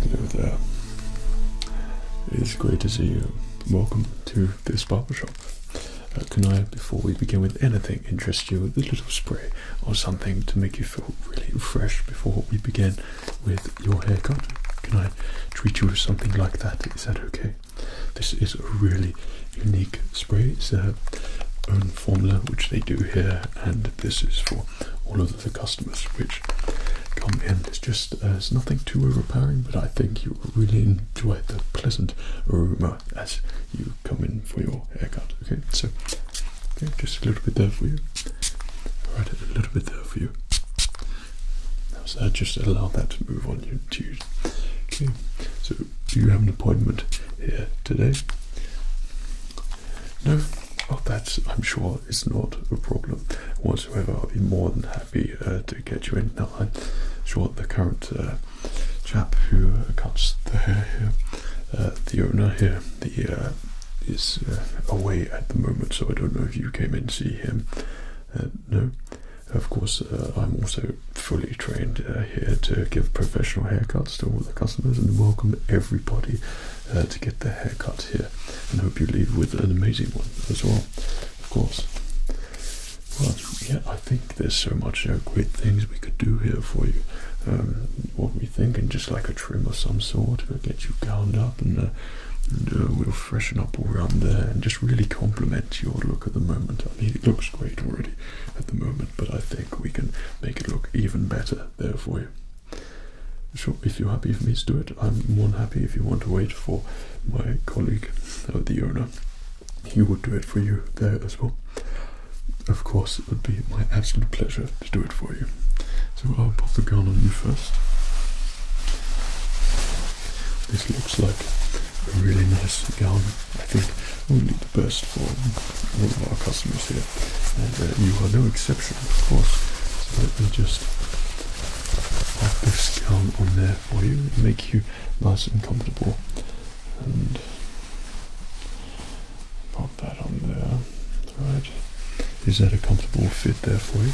Hello It's great to see you. Welcome to this barber shop. can uh, I, before we begin with anything, interest you with a little spray or something to make you feel really fresh before we begin with your haircut? Can I treat you with something like that? Is that okay? This is a really unique spray formula, which they do here, and this is for all of the customers which come in. It's just uh, it's nothing too overpowering, but I think you will really enjoy the pleasant aroma as you come in for your haircut. Okay, so okay, just a little bit there for you. Right, a little bit there for you. So just allow that to move on you to Okay, so you have an appointment here today. No, oh, that's, I'm sure it's not a problem whatsoever. I'll be more than happy uh, to get you in. Now, I'm the current uh, chap who cuts the hair here, uh, the owner here, the is away at the moment, so I don't know if you came in to see him. no, of course, I'm also fully trained here to give professional haircuts to all the customers and welcome everybody uh, to get their haircut here. And hope you leave with an amazing one as well, of course. Well, yeah, I think there's so much great things we could do here for you. Um, what we think, and just like a trim of some sort, will get you gowned up and, uh, uh, we'll freshen up around there and just really compliment your look at the moment. I mean, it looks great already at the moment, but I think we can make it look even better there for you. Sure, if you're happy for me to do it, I'm more than happy. If you want to wait for my colleague, the owner, he would do it for you there as well. Of course, it would be my absolute pleasure to do it for you. So I'll put the gun on you first. This looks like a really nice gown. I think only best for all of our customers here, and uh, you are no exception, of course. let me just pop this down on there for you, make you nice and comfortable, and pop that on there. Right? Is that a comfortable fit there for you?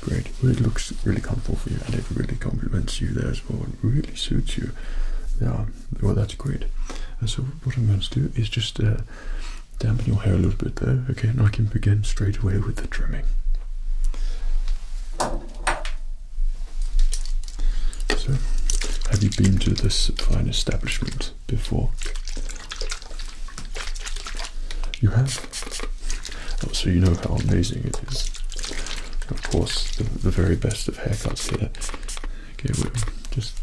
Great, Well, it looks really comfortable for you and it really complements you there as well. It really suits you. Yeah, well that's great. so what I'm going to do is just uh, dampen your hair a little bit there, okay? And I can begin straight away with the trimming. So, have you been to this fine establishment before? You have? Oh, so you know how amazing it is. Of course, the, very best of haircuts here. Okay, we'll just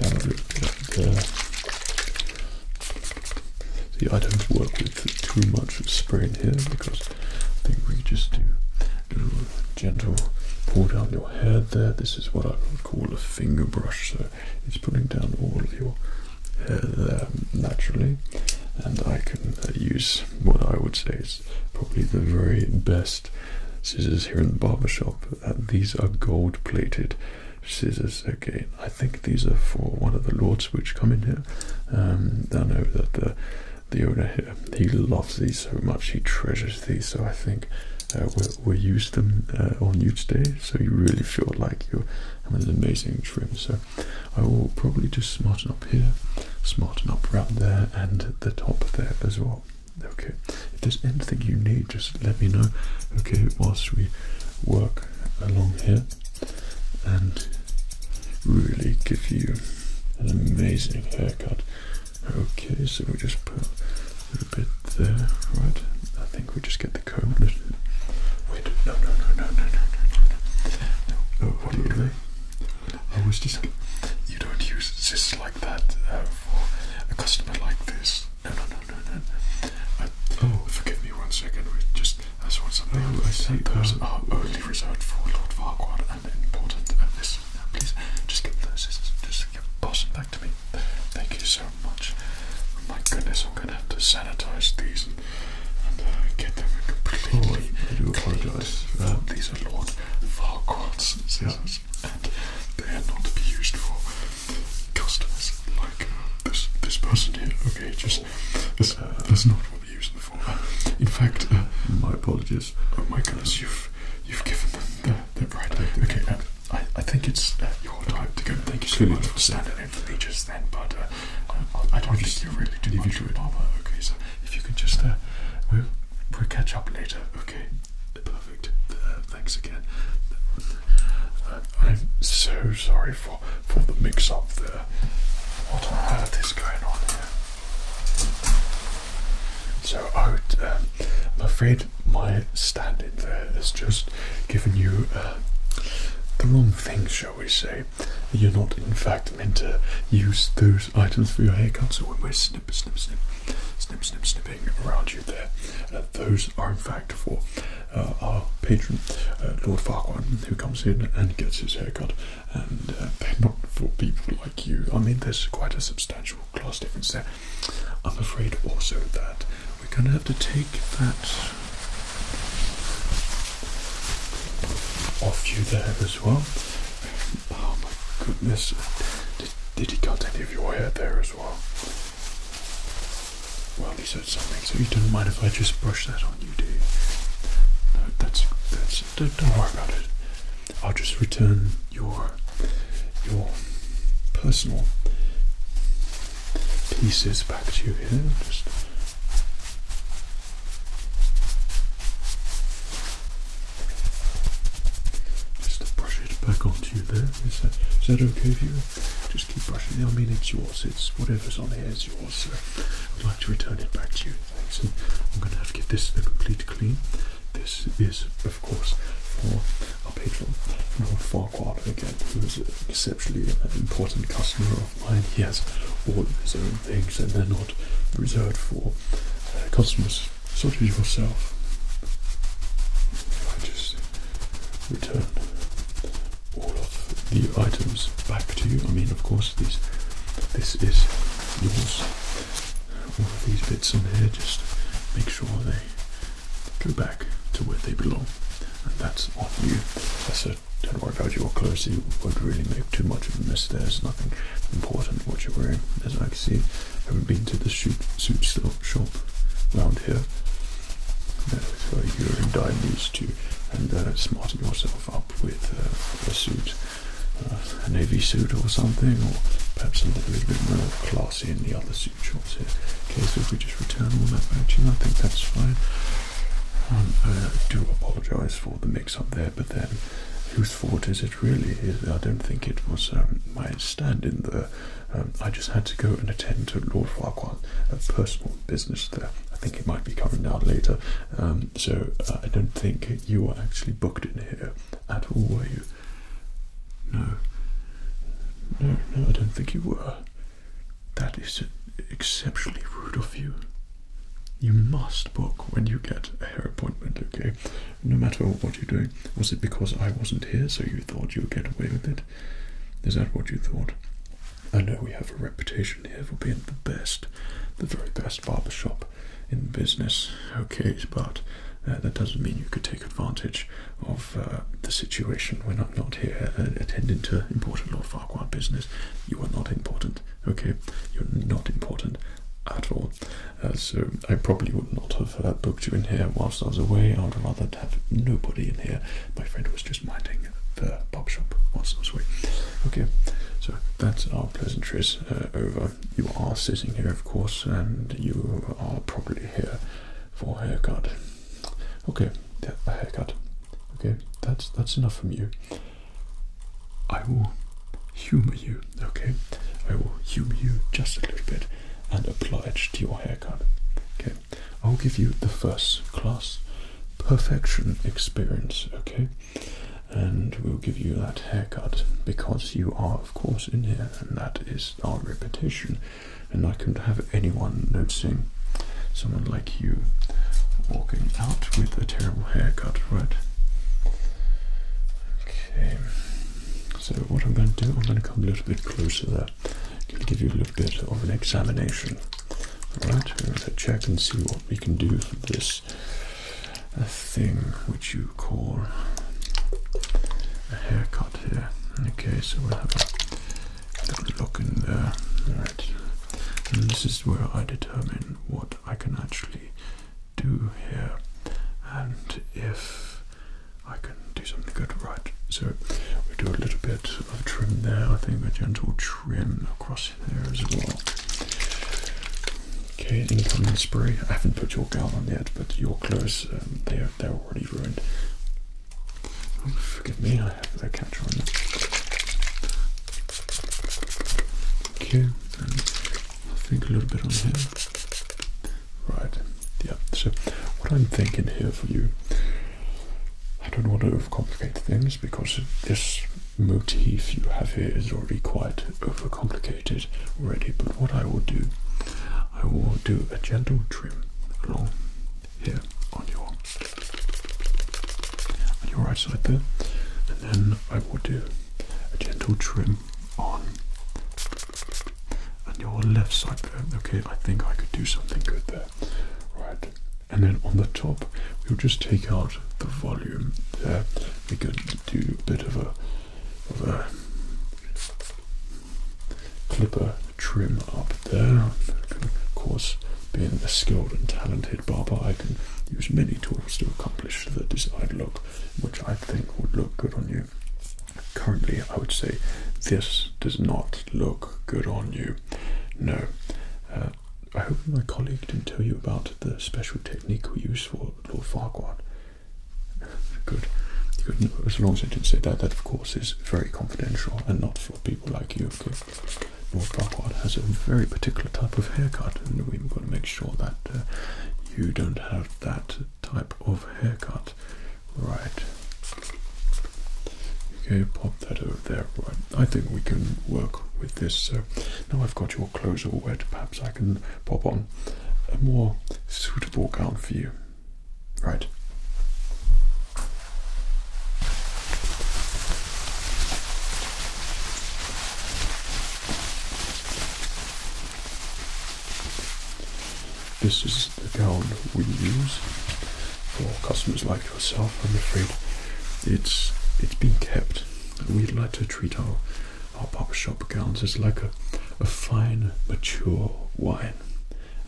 down a little bit up uh, there. See, I don't work with too much spray in here because I think we just do a little gentle pull down your hair there. This is what I would call a finger brush, so it's pulling down all of your hair there naturally. And I can uh, use what I would say is probably the very best scissors here in the barber shop. Uh, these are gold plated scissors. Okay, I think these are for one of the lords which come in here. Um, I know that the the owner here he loves these so much. He treasures these. So I think uh, we we use them uh, on you today. So you really feel like you're having an amazing trim. So I will probably just smarten up here, smarten up around there, and the top there as well. Okay, if there's anything you need, just let me know. Okay, whilst we work along here and really give you an amazing haircut. Okay, so we just put a little bit there, right? I think we just get the comb. Wait, no, no, no, no, no, no, no, no. Oh, what are you I was just. You don't use this like that uh, for a customer like this. No, no, no, no, no. oh, forgive me one second. just I just want something. Oh, I see. Those um, are only reserved for Lord Farquhar and important. Uh, this, please, just get those scissors. Just give, pass back to me. Thank you so much. my goodness, I'm gonna have to sanitize these uh, I, do apologise. Uh, these are Lord Farquhar's scissors, yeah. and they are not to be used for customers like uh, this this person here. Okay, just that's, not what they use them for. In fact, my apologies. Oh my goodness, you've you've given them their, their right. Okay, I I think it's your time to go. Thank you so much for standing in for me just then, but. I don't think you're really too much of a Okay, so if you can just, we uh, we catch up later. Okay, perfect. Uh, thanks again. Uh, I'm so sorry for for the mix-up there. What on earth is going on here? So I would, um, I'm afraid my stand-in there has just given you the wrong thing, shall we say? You're not, in fact, meant to use those items for your haircut. So when we're snip, snip, snip, snip, snip, snipping around you there, uh, those are in fact for uh, our patron, uh, Lord Farquhar, who comes in and gets his haircut. And they're not for people like you. I mean, there's quite a substantial class difference there. I'm afraid also that we're going to have to take that off you there as well. Oh my goodness. Did, he cut any of your hair there as well? Well, he said something, so you don't mind if I just brush that on you, do you? No, that's, that's, don't, don't worry about it. I'll just return your, your personal pieces back to you here. Just just to brush it back onto you there. Is that, is that okay for you? Just keep brushing it. I mean, it's yours. It's whatever's on here is yours. So I'd like to return it back to you. Thanks. And I'm going to have to get this a complete clean. This is, of course, for our patron, Lord Farquhar, again, who is an exceptionally important customer of mine. He has all of his own things, and they're not reserved for uh, customers such as yourself. I just return all of the items back to you. I mean, of course, these this is yours. All of these bits on here, just make sure they go back to where they belong, and that's on you. That's don't worry about your clothes. You would not really make too much of a mess. There's nothing important what you're wearing. As I can see, haven't been to the shoot, suit shop around here. Uh, so you're in dire need to and uh, smarten yourself up with uh, a suit, uh, a navy suit or something, or perhaps a little, little bit more classy in the other suit shops here. Okay, so if we just return all that back to you, I think that's fine. Um, uh, I do apologise for the mix-up there, but then whose fault is it really? I don't think it was um, my stand-in there. Um, I just had to go and attend to Lord Farquhar's uh, personal business there. I think it might be coming down later, so uh, I don't think you were actually booked in here at all, were you? No. No, no, I don't think you were. That is exceptionally rude of you. You must book when you get a hair appointment, okay? No matter what you're doing. Was it because I wasn't here so you thought you'd get away with it? Is that what you thought? I know we have a reputation here for being the best, the very best barber shop in business, okay? But uh, that doesn't mean you could take advantage of uh, the situation when I'm not here uh, attending to important or Farquhar business. You are not important Okay, you're not important at all. Uh, so I probably would not have uh, booked you in here whilst I was away. I would rather have nobody in here. My friend was just minding the pub shop whilst I was away. Okay, so that's our pleasantries uh, over. You are sitting here, of course, and you are probably here for a haircut. Okay, yeah, a haircut. Okay, that's that's enough from you. I will humor you, okay? I will humor you just a little bit and apply it to your haircut. Okay, I'll give you the first class perfection experience, okay? And we'll give you that haircut because you are, of course, in here, and that is our repetition. And I couldn't have anyone noticing someone like you, walking out with a terrible haircut, right? Okay, so what I'm going to do, I'm going to come a little bit closer there. give you a little bit of an examination. right? we're going to check and see what we can do for this uh, thing which you call a haircut here. Okay, so we'll have a little look in there. And this is where I determine what I can actually do here and if I can do something good, right? So we do a little bit of trim there, I think a gentle trim across there as well. Okay, incoming spray. I haven't put your gown on yet, but your clothes, um, they're, they're already ruined. Oh, forgive me, I have the catch on. Okay, I'll think a little bit on here. Right, yeah, so what I'm thinking here for you, I don't want to overcomplicate things because this motif you have here is already quite overcomplicated already, but what I will do, I will do a gentle trim along here on your on your right side there, and then I will do a gentle trim on and your left side there. Okay, I think I could do something good there. Right, and then on the top, we'll just take out the volume there. We can do a bit of a of a clipper trim up there. Of course, being a skilled and talented Barbara, I can use many tools to accomplish the desired look, which I think would look good on you. Currently, I would say this does not look good on you. No. Uh, I hope my colleague didn't tell you about the special technique we use for Lord Farquhar. Good. Good. As long as I didn't say that, that of course is very confidential and not for people like you. Okay. Lord Blackwood has a very particular type of haircut, and we've got to make sure that uh, you don't have that type of haircut. Right. Okay, pop that over there. Right. I think we can work with this. So now I've got your clothes all wet, perhaps I can pop on a more suitable gown for you. Right. This is the gown we use for customers like yourself. I'm afraid it's it's been kept. We'd like to treat our our barber shop gowns as like a, a fine mature wine,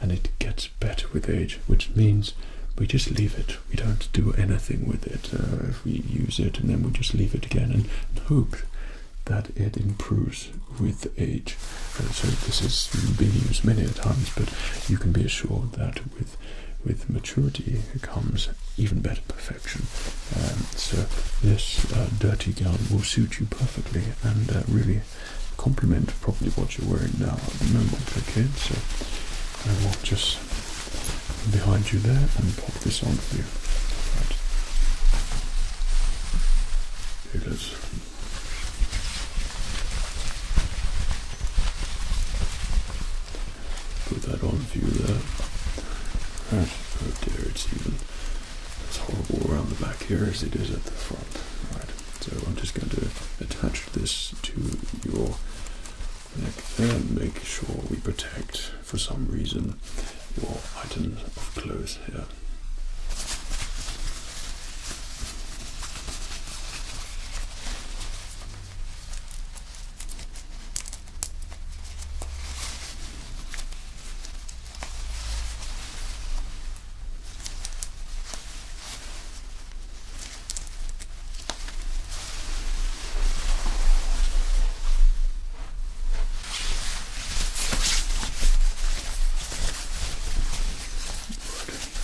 and it gets better with age, which means we just leave it we don't do anything with it. Uh, we use it and then we just leave it again and, hope that it improves with age. Uh, so this has been used many times, but you can be assured that with with maturity comes even better perfection. Um, so this uh, dirty gown will suit you perfectly and really complement properly what you're wearing now at the moment. so I will just behind you there and pop this on for you. Right. Here it is. Put that on for you there. Right. Oh dear, it's even as horrible around the back here as it is at the front. Right. So I'm just going to attach this to your like that, make sure we protect for some reason your items of clothes here.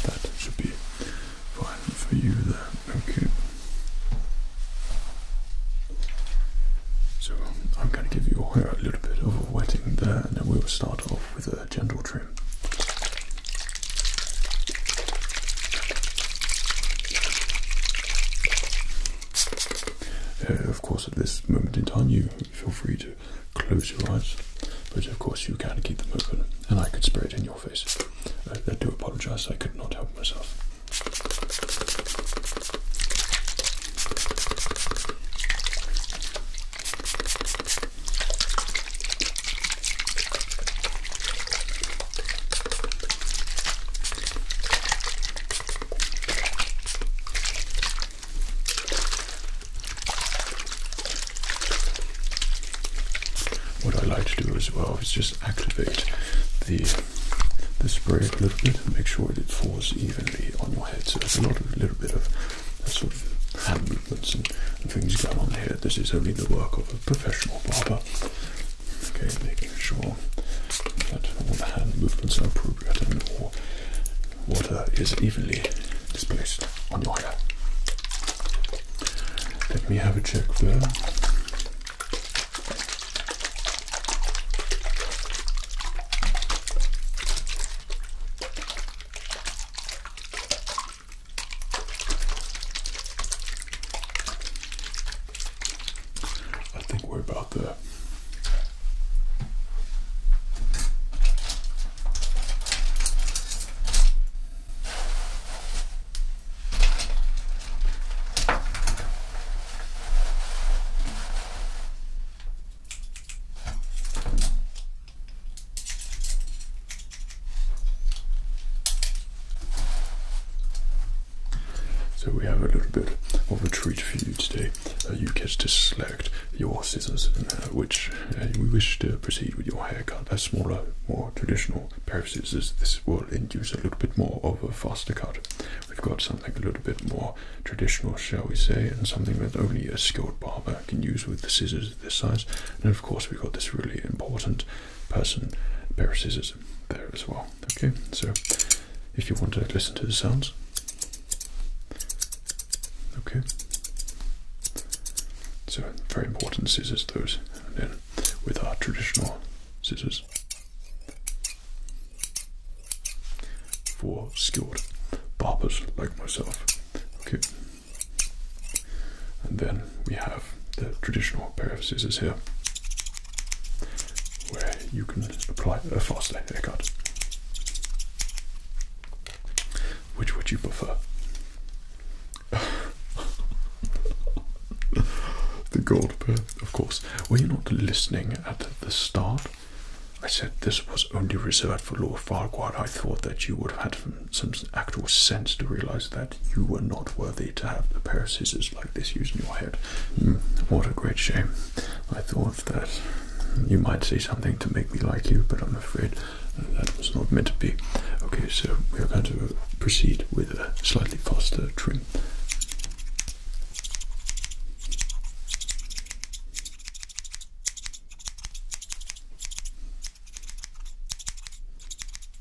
That should be fine for you there. Okay. So I'm going to give you a little bit of a wetting there, and then we'll start off with a gentle trim. Uh, of course, at this moment in time, you feel free to close your eyes, but of course, you can keep them open, and I could spray it in your face. Uh, I do apologise, I could not help myself. What I like to do as well is just activate the the spray a little bit and make sure it falls evenly on your head. So there's a lot of little bit of sort of hand movements and, and things going on here. This is only the work of a professional barber. Okay, making sure that all the hand movements are appropriate and all water is evenly displaced on your hair. Let me have a check there. I think we're about there. So we have a little bit of a treat for you today. Uh, you get to select your scissors, uh, which we uh, wish to proceed with your haircut. A smaller, more traditional pair of scissors. This will induce a little bit more of a faster cut. We've got something a little bit more traditional, shall we say, and something that only a skilled barber can use with the scissors this size. And of course, we've got this really important person a pair of scissors there as well. Okay, so if you want to listen to the sounds, okay. So very important scissors those, then with our traditional scissors for skilled barbers like myself. Okay. And then we have the traditional pair of scissors here, where you can apply a faster haircut. Which would you prefer? the gold pair, of course. Were you not listening at the start? I said this was only reserved for Lord Farquhar. I thought that you would have had some actual sense to realize that you were not worthy to have a pair of scissors like this used in your head. Mm, what a great shame. I thought that you might say something to make me like you, but I'm afraid that was not meant to be. Okay, so we are going to proceed with a slightly faster trim.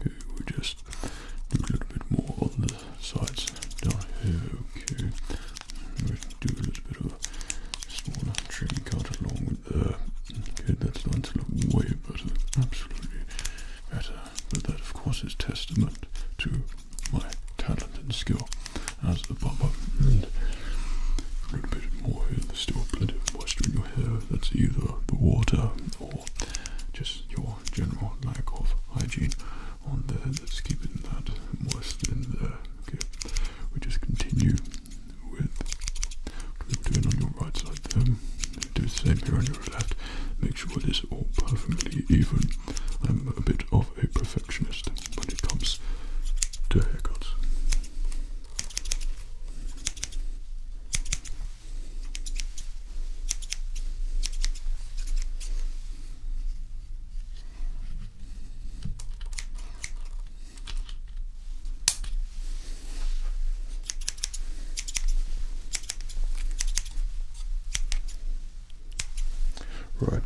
Okay, we just do a little bit more on the sides down here. Okay do a little bit of a smaller trimming cut along with the. Okay, that's starting to look way better, absolutely better. But that, of course, is testament to my talent and skill as a barber. And a little bit more here. There's still plenty of moisture in your hair. That's either the water or just your general lack of hygiene on there. Let's keep that moist in there. Okay, we just continue with what we're doing on your right side there. Do the same here on your left. Make sure it is all perfectly even. I'm a bit of a perfectionist when it comes to haircuts. Right.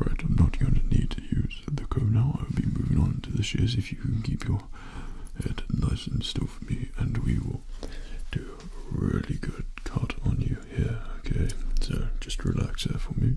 Right, I'm not going to need to use the comb now. I'll be moving on to the shears if you can keep your head nice and still for me, and we will do really good cut on you here. Okay, so just relax there for me.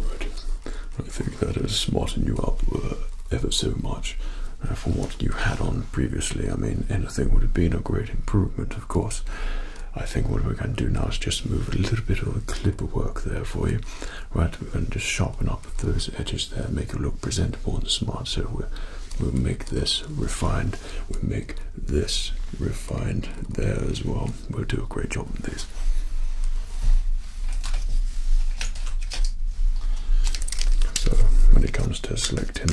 Right. I think that has smartened you up uh, ever so much uh, from what you had on previously. I mean, anything would have been a great improvement, of course. I think what we can do now is just move a little bit of the clipper work there for you, right? We're just sharpen up those edges there, make it look presentable and smart. So we'll, we'll make this refined, we'll make this refined there as well. We'll do a great job with these. So when it comes to selecting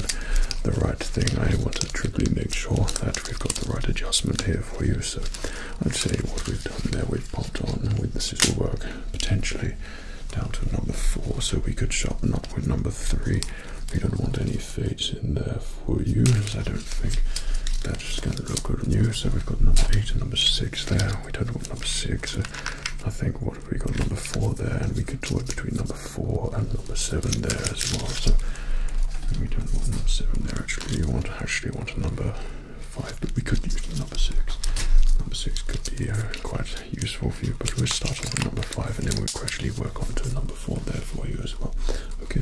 the right thing, I want to make sure that we've got the right adjustment here for you. So I'd say what we've done there, we've popped on with the scissor work potentially down to number four, so we could shop not with number three. We don't want any fades in there for you, as I don't think that's going to look good on you. So we've got number eight and number six there. We don't want number six. So I think what we got number four there, and we could do it between number four and number seven there as well. So we don't want number seven there actually. We want actually want a number five, but we could use number six. Number six could be uh, quite useful for you, but we'll start off with number five and then we'll gradually work on to number four there for you as well. Okay.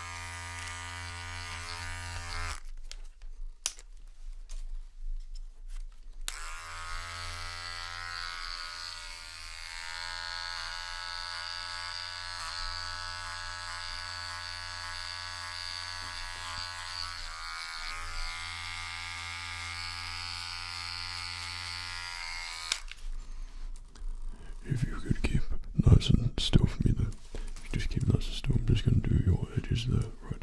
If you could keep nice and still for me, then just keep that system. just going to do your edges there, right?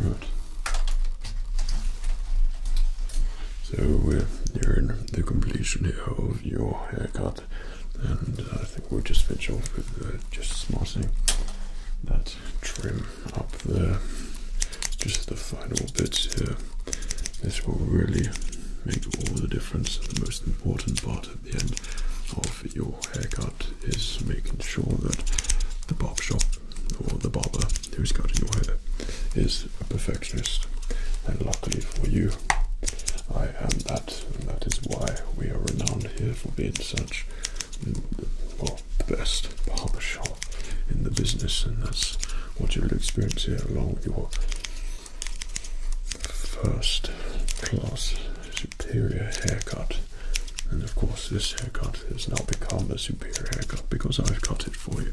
Right. So we are in the completion here of your haircut, and I think we'll just finish off with uh, just smarting that trim up there. Just the final bits here. This will really make all the difference. The most important part at the end of your haircut is making sure that the bob or the barber who's cutting your hair is a perfectionist. And luckily for you, I am that, and that is why we are renowned here for being such, mm, well, the best barber shop in the business, and that's what you will experience here along with your first class superior haircut and of course, this haircut has now become a superior haircut because I've cut it for you.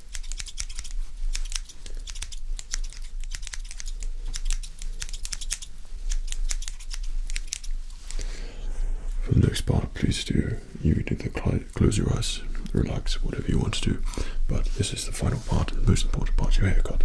For the next part, please do you can close your eyes, relax, whatever you want to do. But this is the final part, the most important part, your haircut.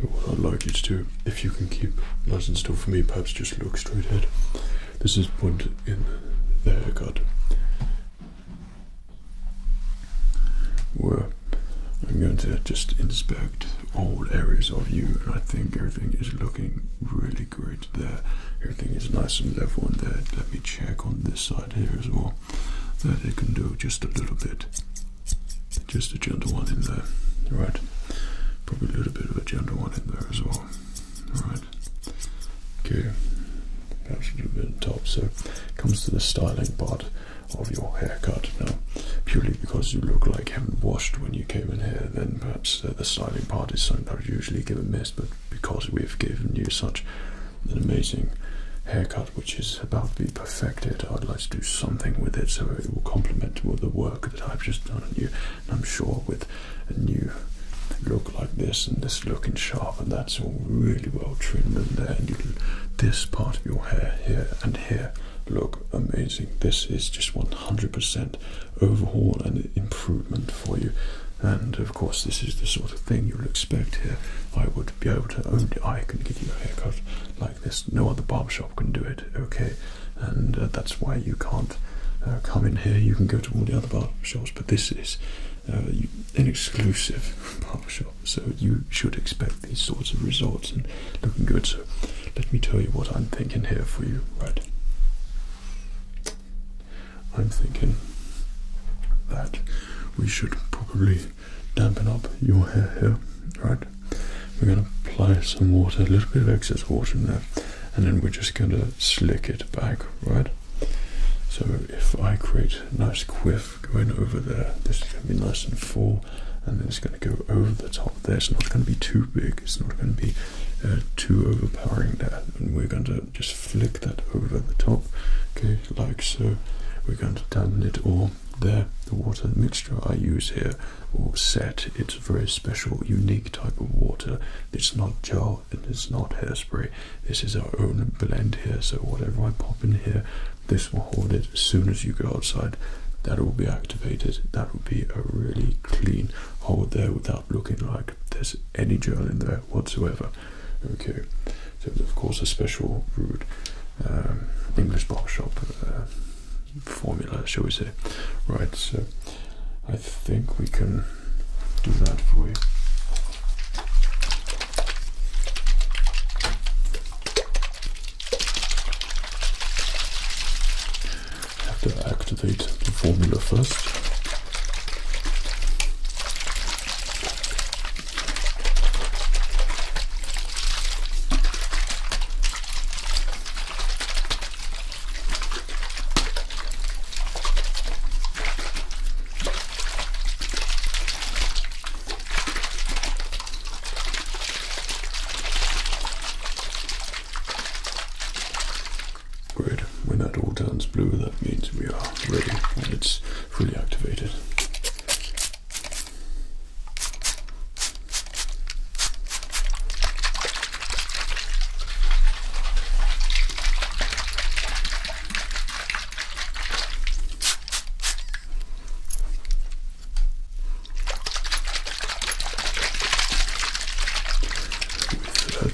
What I'd like you to do, if you can keep nice and still for me, perhaps just look straight ahead. This is point in there, God. Where I'm going to just inspect all areas of you, and I think everything is looking really great there. Everything is nice and level in there. Let me check on this side here as well that it can do just a little bit, just a gentle one in there, right? Probably a little bit of a gentle one in there as well, alright? Okay, perhaps a little bit on top. So, comes to the styling part of your haircut now. Purely because you look like you haven't washed when you came in here, then perhaps uh, the styling part is something I usually give a miss, but because we've given you such an amazing haircut which is about to be perfected. I'd like to do something with it so it will complement the work that I've just done on you. And I'm sure with a new look like this and this looking sharp and that's all really well trimmed in there and this part of your hair here and here look amazing. This is just 100% overhaul and improvement for you. And of course, this is the sort of thing you'll expect here I would be able to only I can give you a haircut like this. No other barbershop can do it. Okay, and uh, that's why you can't uh, come in here. You can go to all the other barbershops, but this is uh, an exclusive barbershop. So you should expect these sorts of results and looking good. So let me tell you what I'm thinking here for you, right? I'm thinking that we should probably dampen up your hair here, right? We're going to apply some water, a little bit of excess water in there, and then we're just going to slick it back, right? So if I create a nice quiff going over there, this is going to be nice and full, and then it's going to go over the top there. It's not going to be too big. It's not going to be uh, too overpowering there, and we're going to just flip that over the top, okay, like so. We're going to dampen it all there. The water mixture I use here, or set, it's a very special, unique type of water. It's not gel and it's not hairspray. This is our own blend here, so whatever I pop in here, this will hold it as soon as you go outside. That will be activated. That will be a really clean hold there without looking like there's any gel in there whatsoever. Okay, so of course a special brewed um, English barbershop shop uh, formula, shall we say? Right. So I think we can do that for you. Have to activate the formula first. Great. When that all turns blue, that means we are ready and it's fully activated.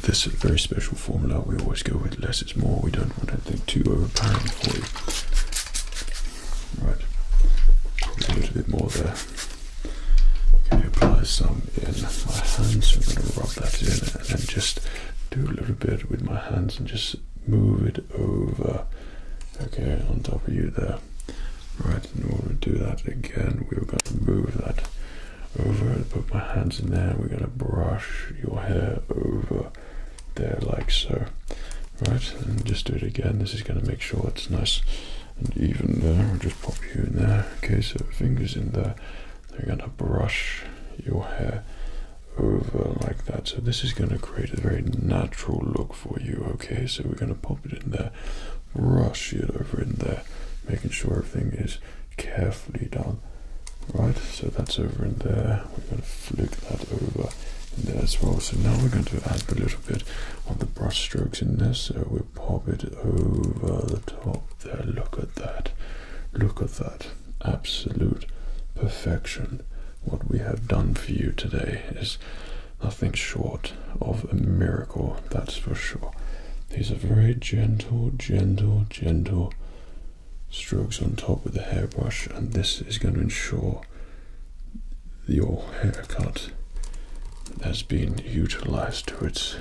This is a very special formula we always go with less it's more. We don't want anything too overpowering for you. Right, probably a little bit more there. Okay, apply some in my hands. So I'm going to rub that in and then just do a little bit with my hands and just move it over. Okay, on top of you there. Right, in order to do that again, we're going to move that over put my hands in there. We're going to brush your hair over there like so. Right, and just do it again. This is going to make sure it's nice and even there. I'll just pop you in there. Okay, so fingers in there. They're going to brush your hair over like that. So this is going to create a very natural look for you. Okay, so we're going to pop it in there, brush it over in there, making sure everything is carefully done Right, so that's over in there. We're going to flick that over in there as well. So now we're going to add a little bit of the brushstrokes in there. So we pop it over the top there. Look at that. Look at that. Absolute perfection. What we have done for you today is nothing short of a miracle, that's for sure. These are very gentle, gentle, gentle strokes on top with the hairbrush and this is going to ensure your haircut has been utilized to its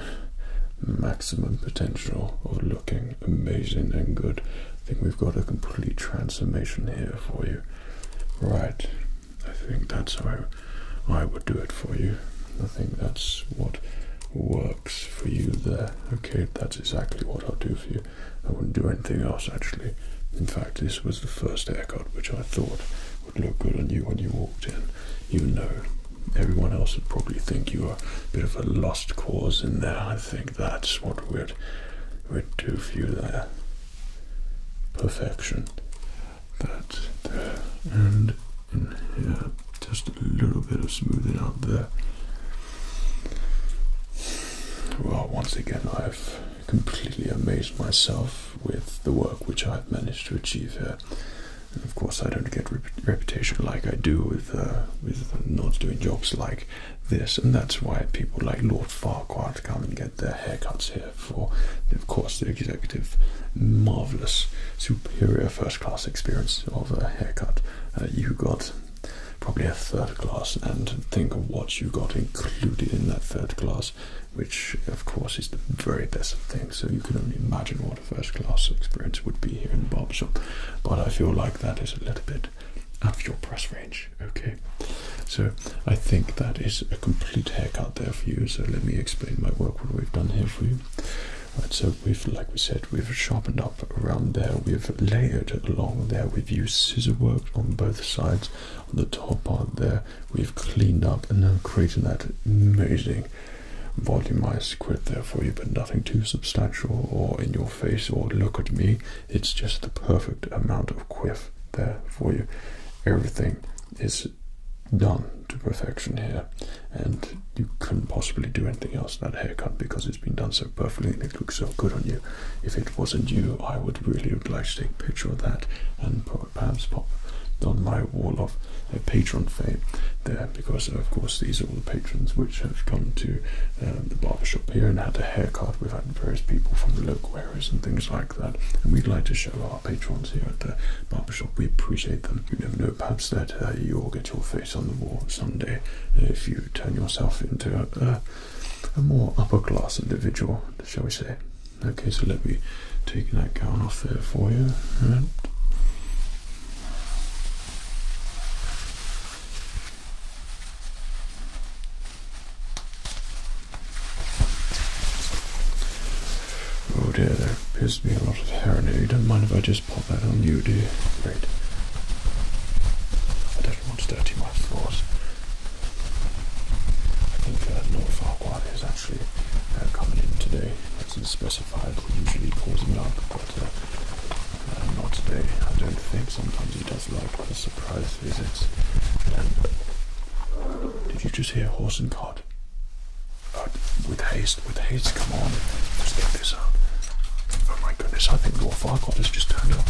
maximum potential of looking amazing and good. I think we've got a complete transformation here for you. Right, I think that's how I would do it for you. I think that's what works for you there. Okay, that's exactly what I'll do for you. I wouldn't do anything else actually. In fact, this was the first haircut which I thought would look good on you when you walked in. You know, everyone else would probably think you were a bit of a lost cause in there. I think that's what we'd we'd do for you there. Perfection. That and Just a little bit of smoothing out there. Well, once again, I've completely amazed myself with the work which I've managed to achieve here. of course, I don't get reputation like I do with uh, with not doing jobs like this, and that's why people like Lord Farquhar come and get their haircuts here. For of course, the executive, marvelous, superior, first-class experience of a haircut uh, you got probably a third class, and think of what you got included in that third class, which of course is the very best of things. So you can only imagine what a first class experience would be here in the shop. But I feel like that is a little bit out of your price range. Okay, so I think that is a complete haircut there for you. So let me explain my work, what we've done here for you. Right, so we've, like we said we've sharpened up around there, we've layered along there, we've used scissor work on both sides, on the top part there, we've cleaned up and now created that amazing volumized grid there for you, but nothing too substantial or in your face or look at me. It's just the perfect amount of quiff there for you. Everything is done to perfection here and you couldn't possibly do anything else that haircut because it's been done so perfectly and it looks so good on you. If it wasn't you, I would really would like to take a picture of that and perhaps pop on my wall of patron fame there because of course these are all the patrons which have come to uh, the barber shop here and had a haircut we've had various people from the local areas and things like that and we'd like to show our patrons here at the barber shop. we appreciate them you never know perhaps that uh, you'll get your on the wall someday if you turn yourself into a, more upper class individual, shall we say. Okay, so let me take that gown off there for you. Oh dear, there appears to be a lot of hair in here. You don't mind if I just pop that on you, do Great. I don't want to dirty my floors. I think uh, North Farquhar is actually uh, coming in today. That's specified. He usually pulls him up, but uh, uh, not today. I don't think. Sometimes he does like the surprise visits. Um, did you just hear horse and cart? with haste, with haste, come on. Just get this out. Oh my goodness, I think Lord Farquaad has just turned up.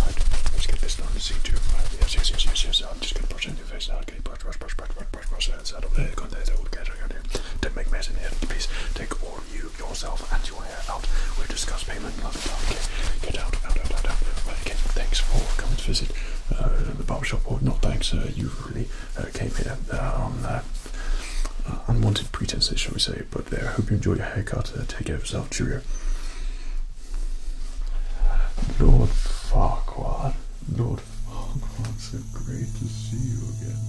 Right, let's get this done to see too. Right, yes, yes, yes, yes, yes. I'm just going to brush in your face now. Okay, brush, brush, brush, brush, brush, brush, brush. That's out of there. Go there, that will get out here. Don't make mess in here. Please take all you, yourself, and your hair out. We'll discuss payment. Blah, blah, blah. Okay, get out, out, out, out, out. Right, okay, thanks for coming to visit uh, the barbershop. Or not thanks, uh, you really uh, came here um, uh, unwanted pretenses, shall we say. But I hope you enjoy your haircut. Uh, take care of yourself. Julia. Lord Farquhar. Lord Farquhar, it's so great to see you again.